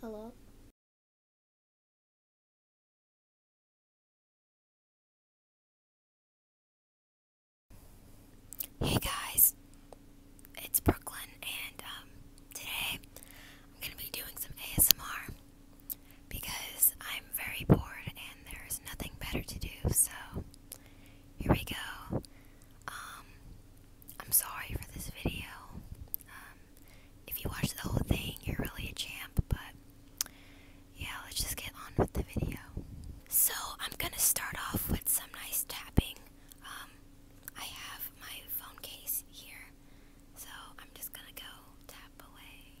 Hello? Hey guys, it's Brooklyn, and um, today I'm gonna be doing some ASMR because I'm very bored and there's nothing better to do. So here we go. Um, I'm sorry for this video. Um, if you watch the whole thing, you're really a champ, but yeah, let's just get on with the video. So I'm gonna start off with some nice tapping. Um, I have my phone case here, so I'm just gonna go tap away.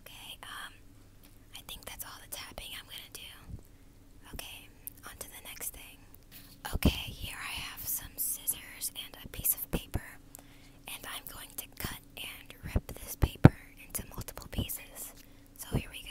Okay, um, I think that's all the tapping I'm gonna do. Okay, on to the next thing. Okay, here I have some scissors and a piece of paper. And I'm going to cut and rip this paper into multiple pieces. So here we go.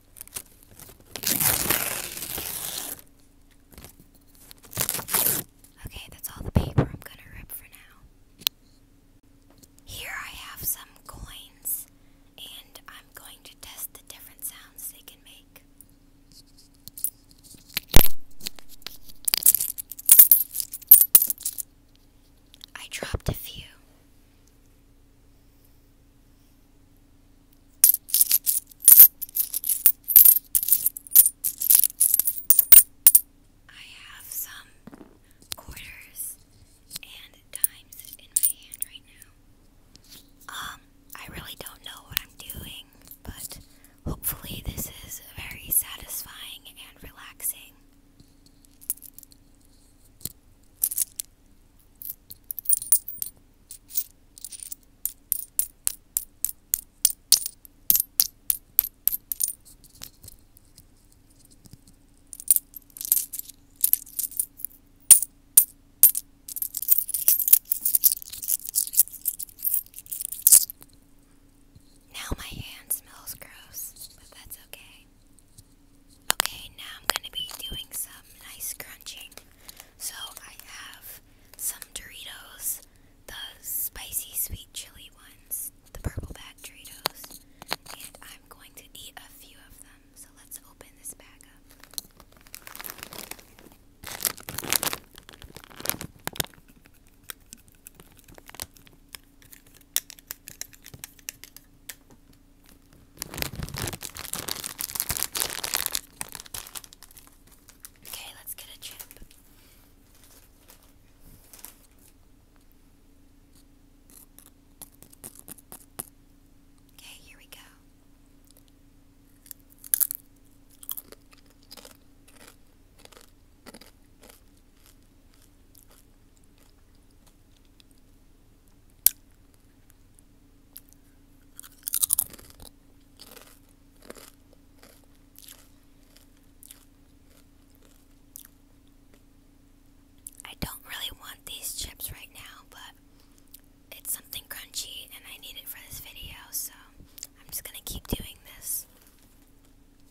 Okay, that's all the paper I'm gonna rip for now. Here I have some coins, and I'm going to test the different sounds they can make. I dropped a few, I have some quarters and dimes in my hand right now. Um, I really don't know what I'm doing, but hopefully, this is very satisfying and relaxing. Now my hand smells gross, but that's okay. Okay, now I'm gonna be doing some nice crunching. So I have some Doritos, the spicy sweet chili ones, the purple bag Doritos, and I'm going to eat a few of them. So let's open this bag up. Okay, let's get a chip. Okay, here we go. I don't really want these chips right now, but it's something crunchy and I need it for this video, so I'm just gonna keep doing this.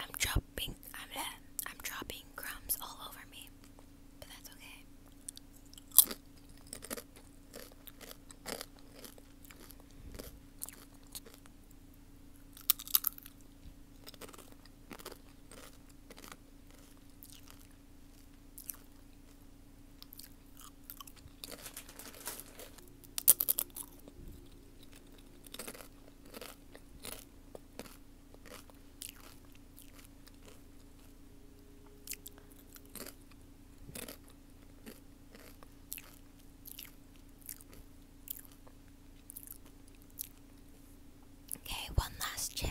I'm dropping, I'm, I'm dropping crumbs all over me, but that's okay. Okay, one last chip.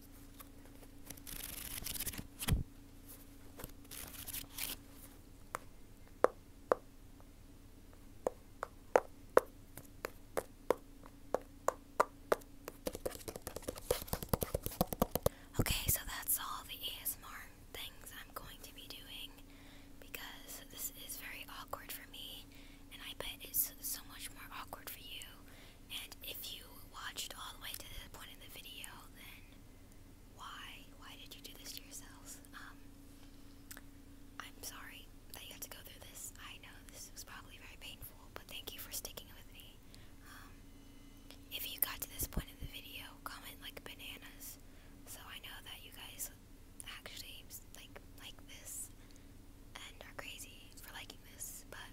Okay, so that's all the ASMR things I'm going to be doing because this is very awkward for me, and I bet it's so much more awkward for you. And if you watched all the way to this point in the video, then why? Why did you do this to yourselves? Um, I'm sorry that you had to go through this. I know this was probably very painful, but thank you for sticking with me. Um, if you got to this point in the video, comment like bananas, so I know that you guys actually like like this and are crazy for liking this. But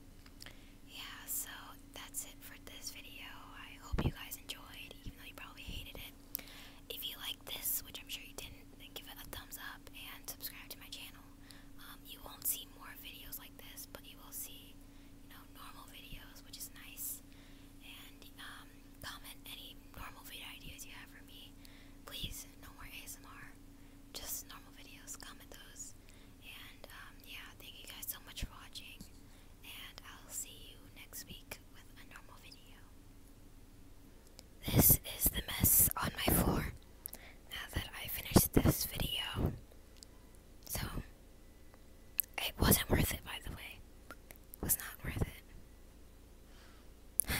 yeah, so that's it for this video. I hope you guys enjoyed, even though you probably hated it. If you like this, which I'm sure you didn't, then give it a thumbs up and subscribe to my channel. Um, you won't see more videos like this, but you will see, you know, normal videos, which is nice. And um, comment any normal video ideas you have for me. Please, no more ASMR just normal videos, comment those. And um, yeah, thank you guys so much for watching. And I'll see you next week with a normal video. This is the mess on my floor now that I finished this video. So, it wasn't worth it, by the way. It was not worth it.